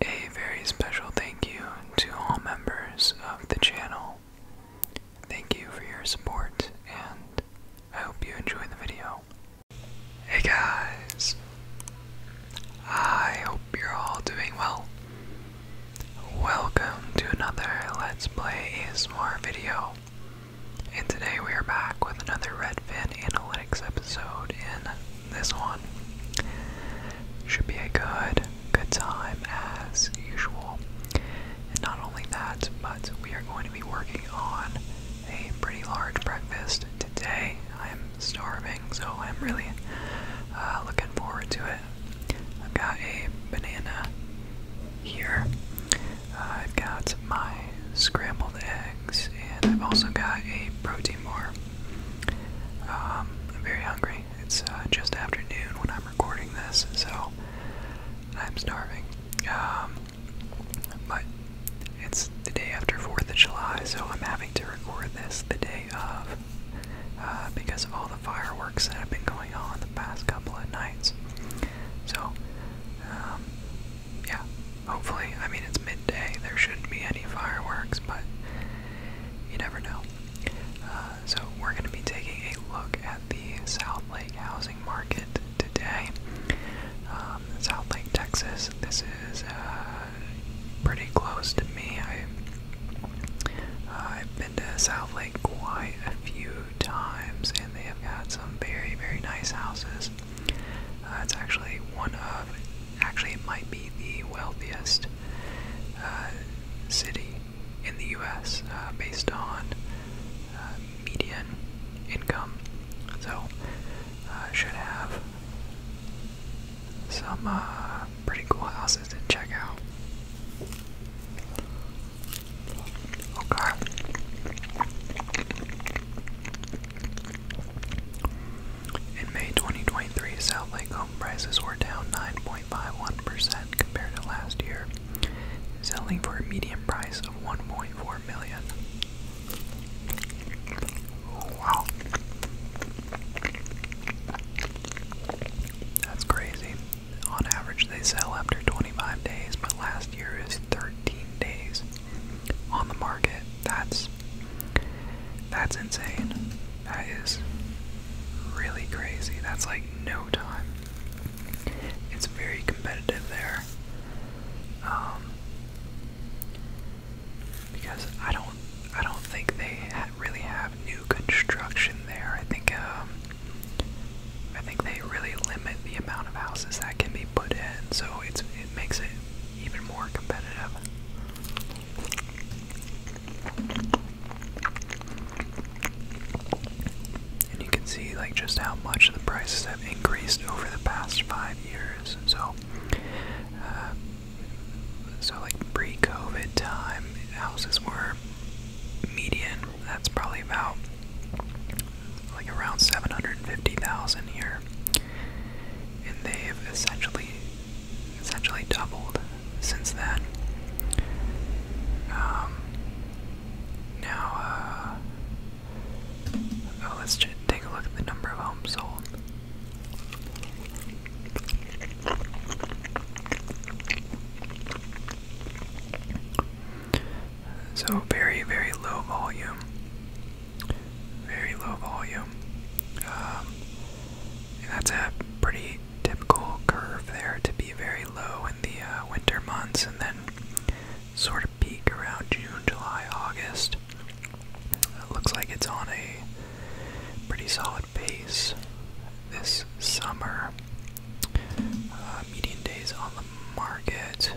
A very special thank you to all members of the channel. Thank you for your support, and I hope you enjoy the video. Hey guys! I hope you're all doing well. Welcome to another Let's Play ASMR video. And today we are back with another Redfin Analytics episode. In this one, should be a good, good time as usual. And not only that, but we are going to be working on a pretty large breakfast today. I'm starving, so I'm really uh, looking forward to it. I've got a banana here. Uh, I've got my scrambled eggs, and I've also got a protein bar. Um, I'm very hungry. It's uh, just afternoon when I'm recording this, so I'm starving. Um, but it's the day after 4th of July, so I'm having to record this the day of uh, because all the fireworks that have been going on the past couple of nights. So, um, yeah, hopefully, I mean, it's midday, there shouldn't be any fireworks, but you never know. Uh, so, we're going to be taking a look at the South Lake housing market today. Um, South Lake, Texas, this is uh, pretty close to me. I, I've been to South Lake quite a few times, and they have got some very, very nice houses. Uh, it's actually one of, actually, it might be the wealthiest uh, city in the U.S. Uh, based on uh, median income. So, uh, should have some pretty cool houses to check out. In May 2023, South Lake home prices were down 9.51% compared to last year, selling for a median price of 1.4 million. Oh, wow. That's crazy on average they sell after 25 days, but last year is 13 days on the market. That's that's insane. That is really crazy. That's like no time. It's very competitive there. Um, because I don't, I don't think they really have new construction there. I think um, I think they really limit the amount of houses that can be put in, so it's it makes it even more competitive. And you can see like just how much the prices have increased over the past five years. So, uh, so like pre-COVID time, houses were median that's probably about like around 750,000 here. And they've essentially essentially doubled since then. Um, now, uh, oh, let's take a look at the number of homes sold. So very, very low volume. Very low volume. Um, and that's a pretty typical curve there to be very low in the uh, winter months and then sort of peak around June, July, August. looks like it's on a pretty solid solid this summer. Uh, median days on the market.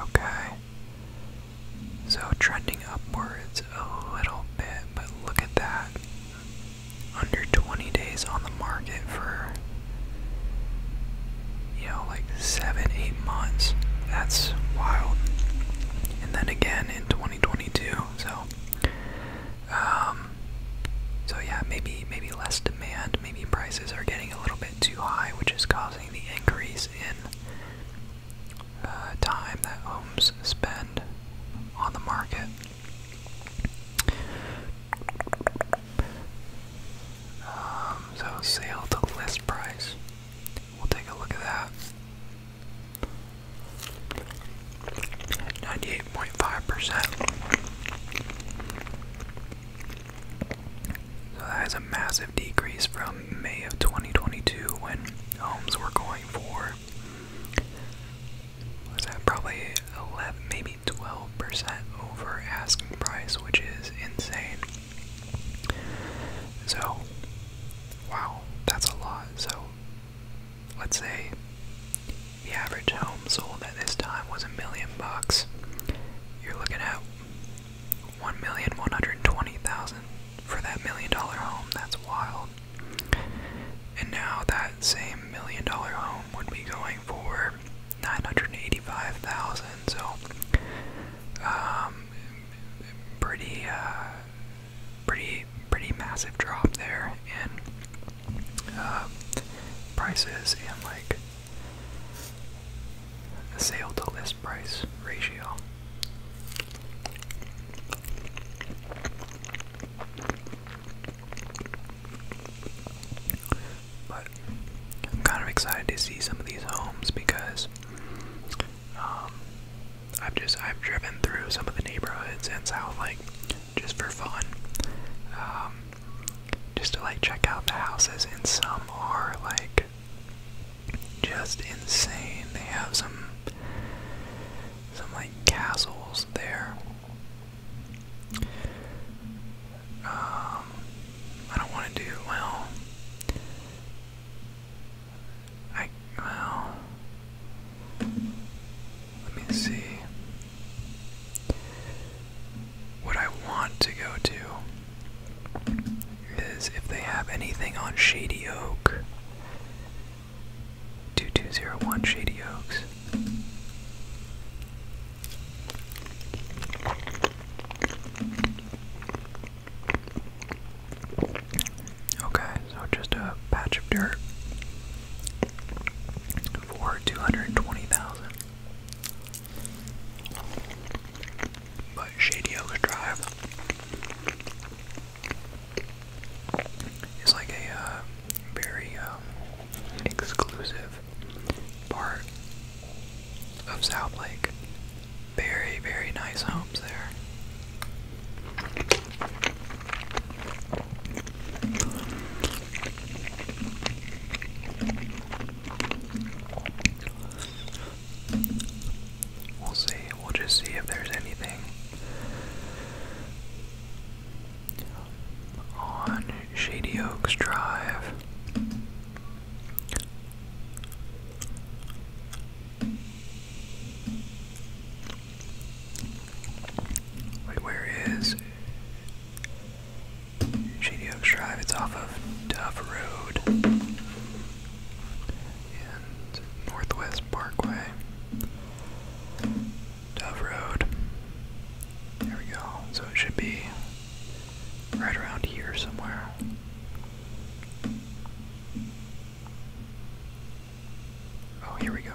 Okay. So trending upwards a little bit, but look at that. Under 20 days on the market for, you know, like seven, eight months. That's wild. And then again in 2022. So, um, um, so yeah, maybe maybe less demand, maybe prices are getting a little bit too high, which is causing the increase in uh, time that homes spend on the market. Um, so sale to list price. We'll take a look at that. 98.5%. So that is a massive decrease from May of 2022 when homes were going for, was that probably 11, maybe 12% over asking price, which is insane. So, wow, that's a lot. So, let's say the average home sold at this time was a million bucks. You're looking at one million one hundred twenty thousand for that million dollar home. That's wild. And now that same million dollar home would be going for nine hundred eighty-five thousand. So, um, pretty uh, pretty pretty massive drop there in uh, prices and like the sale to list price ratio. But I'm kind of excited to see some of these homes because um, I've just I've driven through some of the neighborhoods in South like just for fun, um, just to like check out the houses. And some are like just insane. They have some some like castles there. Um, I don't want to do well. I well. Let me see. What I want to go to is if they have anything on Shady Oak. 2201 Shady Oaks. Okay, so just a patch of dirt for 220,000. But Shady Oaks Drive is like a uh, very um, exclusive part of South Lake. Very, very nice homes there. We'll see. We'll just see if there's anything on Shady Oaks Drive. Wait, where is Shady Oaks Drive? It's off of Dove Road Northwest Parkway. Dove Road. There we go. So it should be right around here somewhere. Oh, here we go.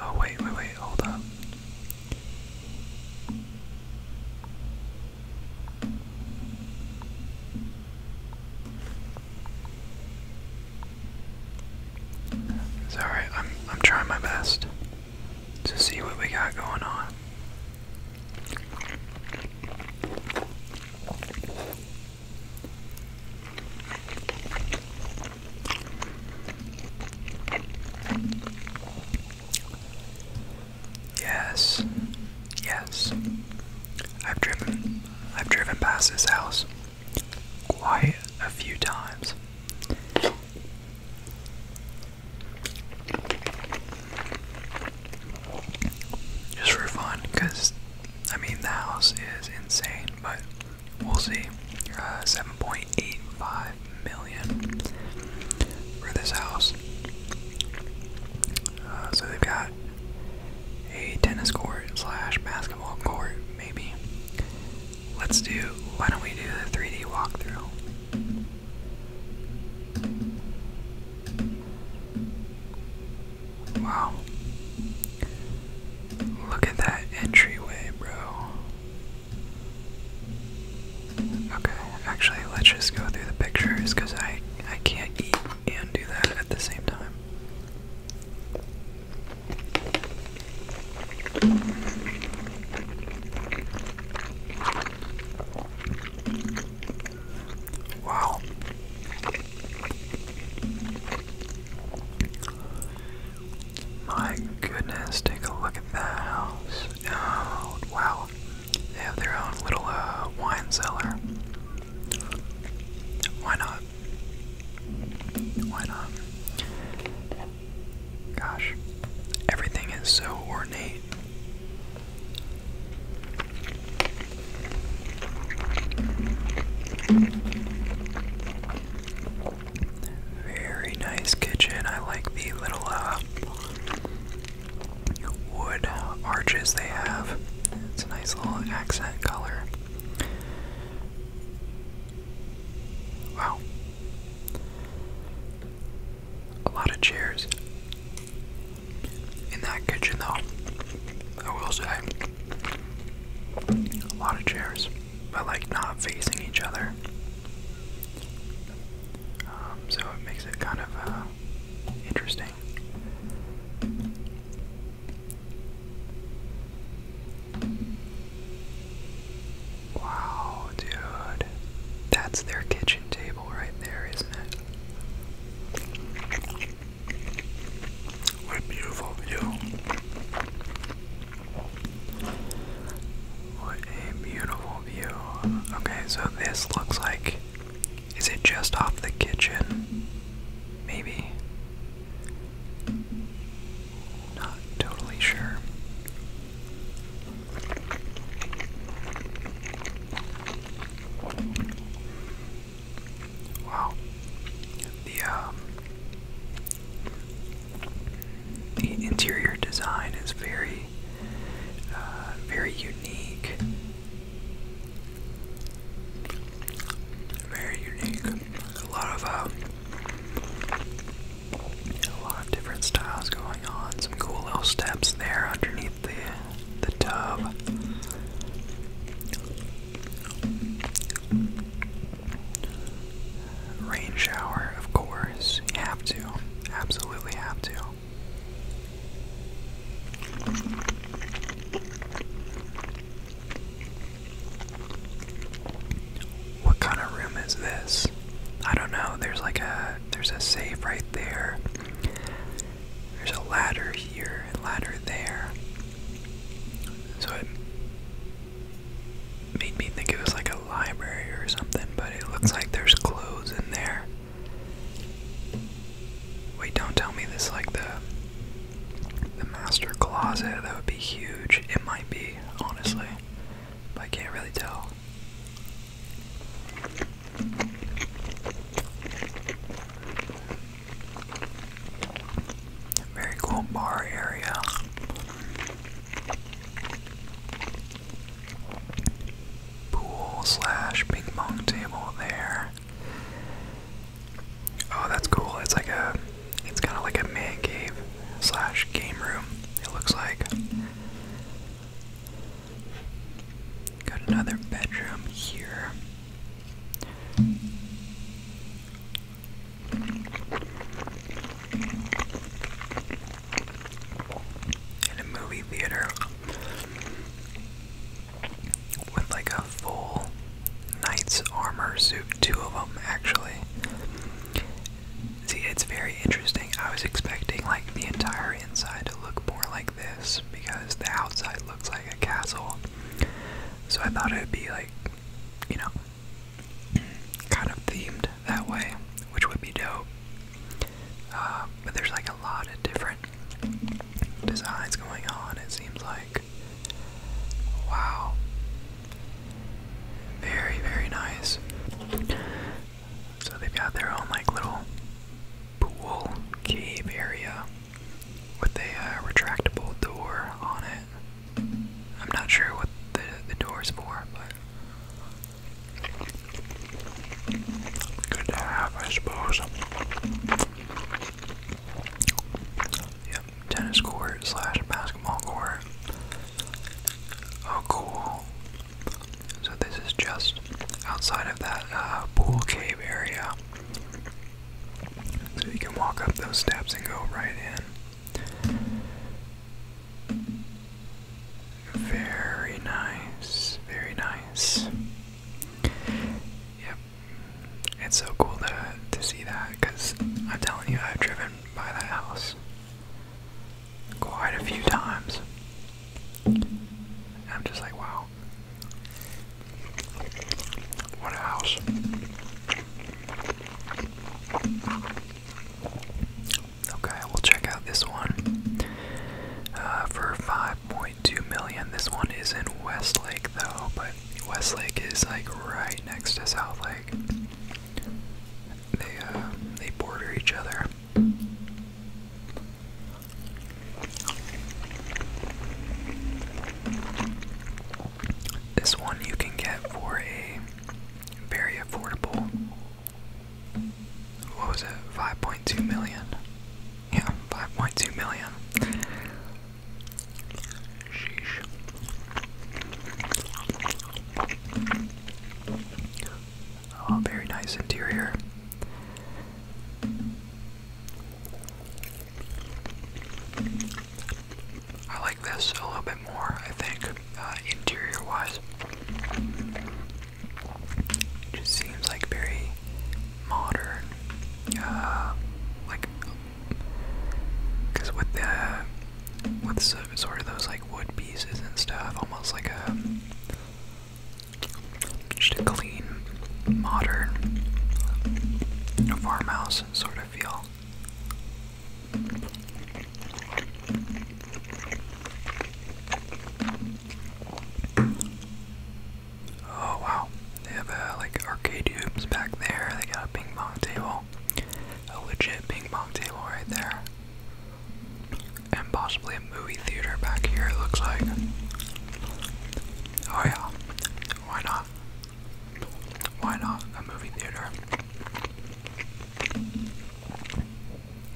Oh, wait, wait, wait, hold up. It's I'm I'm trying my best to see what we got going on. Yes. Yes. I've driven I've driven past this house quite a few times. Just for fun, because I mean, the house is insane, but we'll see. Uh, 7.85 million for this house. Uh, so they've got a tennis court slash basketball court, maybe. Let's do, why don't we do the 3D walkthrough? Wow. Look at that entryway, bro. Okay, actually, let's just go through the pictures because I, I can't eat and do that at the same time. Wow. My goodness, take a look at that house. Oh, wow. They have their own little uh, wine cellar. Why not? Why not? Gosh, everything is so ornate. Very nice kitchen. I like the little uh, wood arches they have. It's a nice little accent color. Wow. A lot of chairs in that kitchen, though. I will say, a lot of chairs, but like not facing each other. Um, so it makes it kind of uh, interesting. Wow, dude. That's their kitchen table right there, isn't it? What a beautiful view. What a beautiful view. Okay, so this looks like. Is it just off the kitchen? Maybe. Not totally sure. Wow. The um, the interior design is very uh, very unique. Very unique. A lot of um, a lot of different styles going on. Some cool little steps there underneath the the tub. Rain shower, of course. You have to. Absolutely have to. What kind of room is this? I don't know. There's like a there's a safe right there. There's a ladder here and ladder there. So it made me think it was like a library or something, but it looks like there's clothes in there. Wait, don't tell me this like the the master closet. That would be huge. It might be, honestly, but I can't really tell. Very cool bar area. Pool slash ping pong table there. Oh, that's cool. It's like a, it's kind of like a man cave slash game room. It looks like. Got another bedroom here. In a movie theater with like a full knight's armor suit, two of them actually. See, it's very interesting. I was expecting like the entire inside to look more like this because the outside looks like a castle. So I thought it would be like, you know, kind of themed that way, which would be dope. Uh, but there's like a lot of different designs going on, it seems like. Wow. Very, very nice. So they've got their own like little pool cave area with a uh, retractable door on it. I'm not sure what the the is for, but good to have, I suppose tennis court slash basketball court. Oh, cool. So this is just outside of that uh, pool cave area. So you can walk up those steps and go right in. Very nice, very nice. Yeah, it's so cool to to see that because I'm telling you I've driven by that house quite a few times. I'm just like wow. What a house. Okay, we'll check out this one. Uh, for 5.2 million, this one is in Westlake though, but West Lake is like right next to South Lake. They uh, they border each other. This one you can get for a very affordable. What was it? 5.2 million. Yeah, 5.2 million. Oh, very nice interior. I like this a little bit more, I think, uh, interior wise. just seems like very modern, uh, like because with the with so, sort of those like wood pieces and stuff, almost like a just a clean, modern farmhouse sort of feel. Oh wow, they have uh, like arcade games back there. They got a ping pong table, a legit ping pong table right there, and possibly a movie theater back here. It looks like. Oh yeah, why not? Why not a movie theater?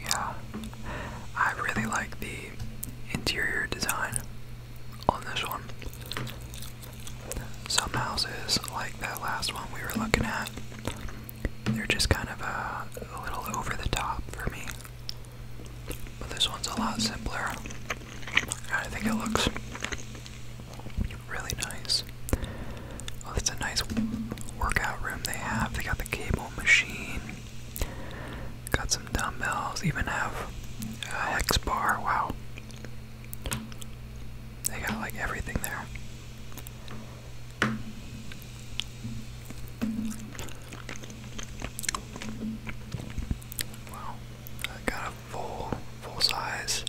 Yeah, I really like the interior design on this one. Some houses, like that last one we were looking at, they're just kind of uh, a little over the top for me. But this one's a lot simpler. I think it looks really nice. Well, it's a nice workout room they have. They got the cable machine, got some dumbbells, even have a hex bar. Wow. They got like everything there. Wow. got a full, full size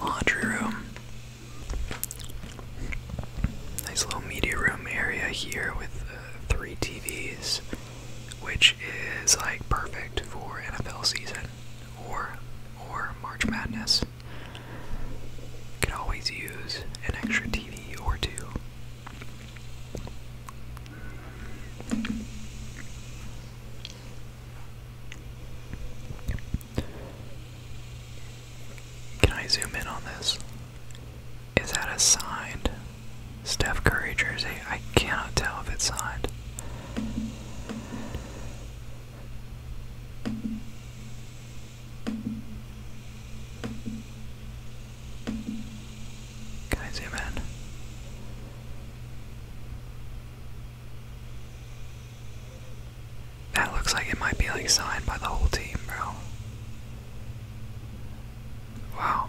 laundry room. Nice little media room area here with uh, three TVs which is like perfect for NFL season or or March Madness. Can always use an extra TV or two. Can I zoom in on this? Is that a sign? Steph Curry jersey. I cannot tell if it's signed. Can I zoom in? That looks like it might be like signed by the whole team, bro. Wow.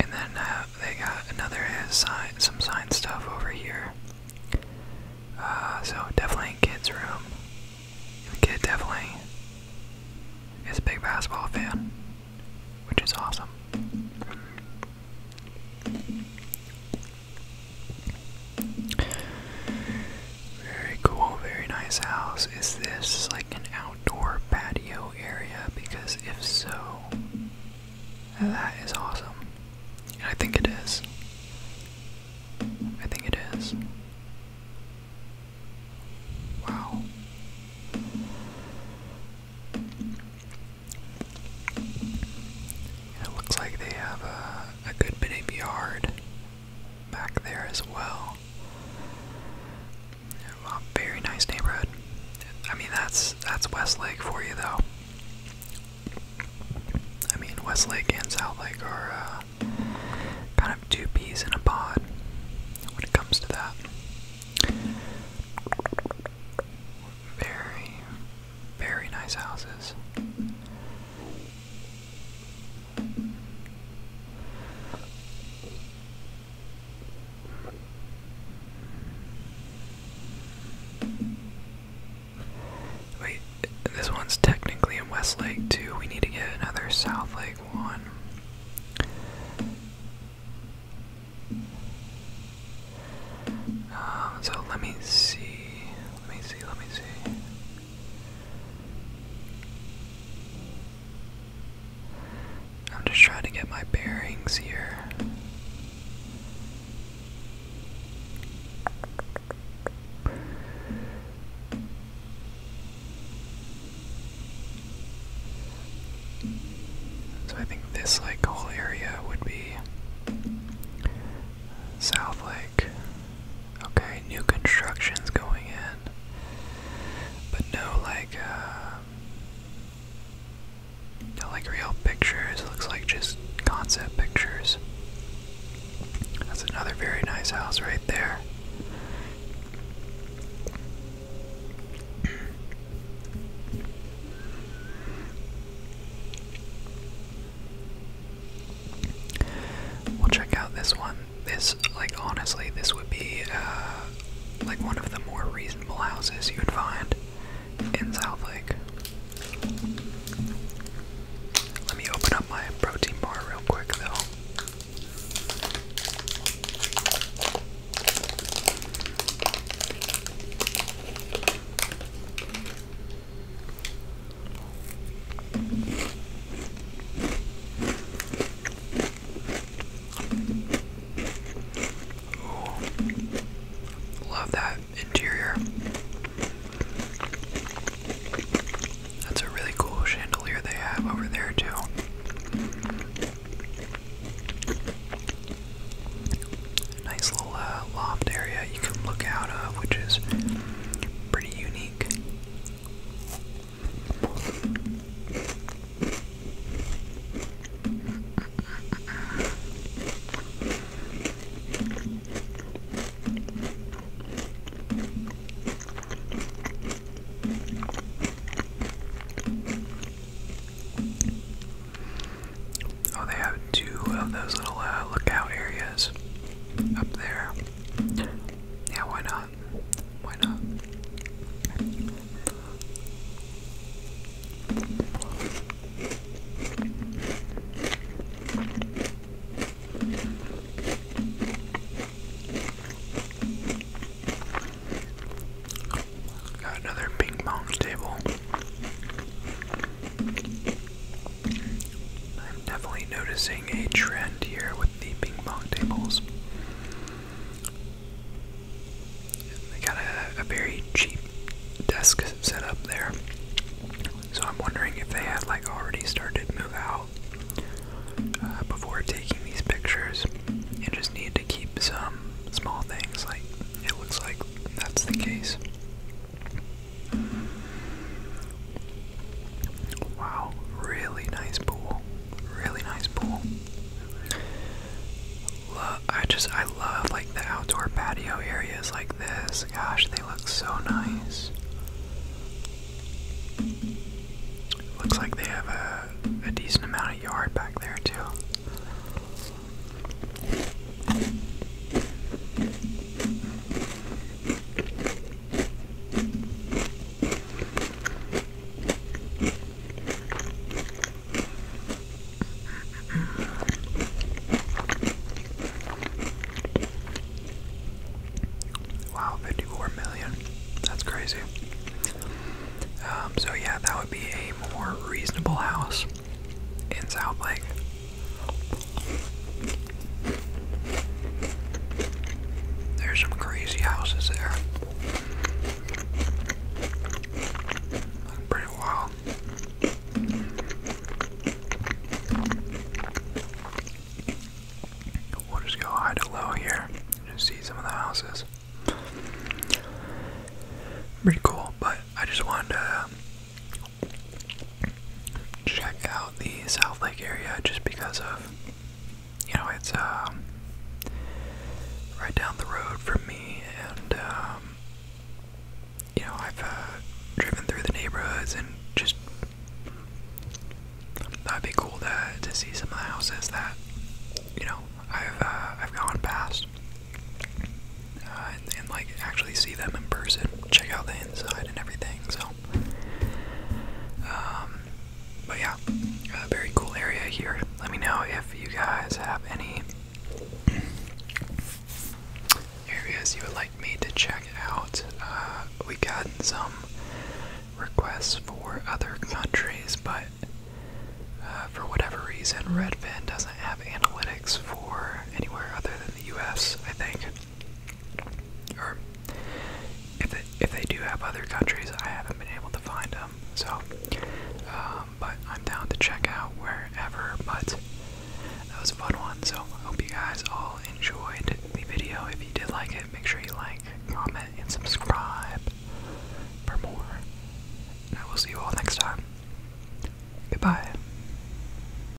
And then uh, they got another some sign stuff over here. Uh, so definitely in kid's room. The kid definitely is a big basketball fan, which is awesome. Very cool, very nice house. Is this like an outdoor patio area? Because if so, that is awesome. I think it is. I think it is. Wow. It looks like they have a, a good bit of yard back there as well. Well, very nice neighborhood. I mean, that's that's Westlake for you, though. I mean, Westlake and South Lake are uh, kind of two peas in a pod when it comes to that. Very, very nice houses. Wait, this one's technically in Lake too. We need to get another South Lake one. Um, so let me see. Let me see. Let me see. I'm just trying to get my bearings here. So I think this like whole area would be South Lake okay, new construction's going in, but no, like, uh, no, like, real pictures. looks like just concept pictures. That's another very nice house right there. We'll check out this one this, like, honestly, this would be, uh, like, one of the more reasonable houses you'd find in South Lake. Let me open up my protein bar real quick, though. Love that interior. That's a really cool chandelier they have over there, too. Nice little uh, loft area you can look out of, which is pretty unique. Oh, they have two of those little uh, lookout areas up there. Yeah, why not? Why not? Got another ping pong table. I'm definitely noticing a trend here with the ping pong tables. They got a, very cheap desk set up there. So I'm wondering if they had like already started to move out uh, before taking these pictures and just need to keep some small things like it looks like that's the case. Wow, really nice pool. Really nice pool. Love, I just, I love like the outdoor patio areas like this. Gosh, they look so nice. Looks like they have a, decent amount of yard back there, too. Wow, 54 million. That's crazy. Um, so, yeah, that would be a more reasonable house in South Lake. There's some crazy houses there. Pretty wild. We'll just go high to low here and see some of the houses. Pretty cool, but I just wanted to check out the South Lake area just because of, you know, it's um, right down the road from me, and um, you know, I've uh, driven through the neighborhoods and just that'd be cool to to see some of the houses that you know I've uh, I've gone past. Uh, and like actually see them in person, check out the inside and everything. So um, but yeah, very cool area here. Let me know if you guys have any areas you would like me to check out. Uh, we got some requests for other countries, but uh, for whatever reason, Redfin doesn't have analytics for anywhere other than the U.S. I think. Or if they, if they do have other countries, I haven't been able to find them. So, um, but I'm down to check out wherever. But that was a fun one. So I hope you guys all enjoyed the video. If you did like it, make sure you like, comment, and subscribe for more. And I will see you all next time. Goodbye.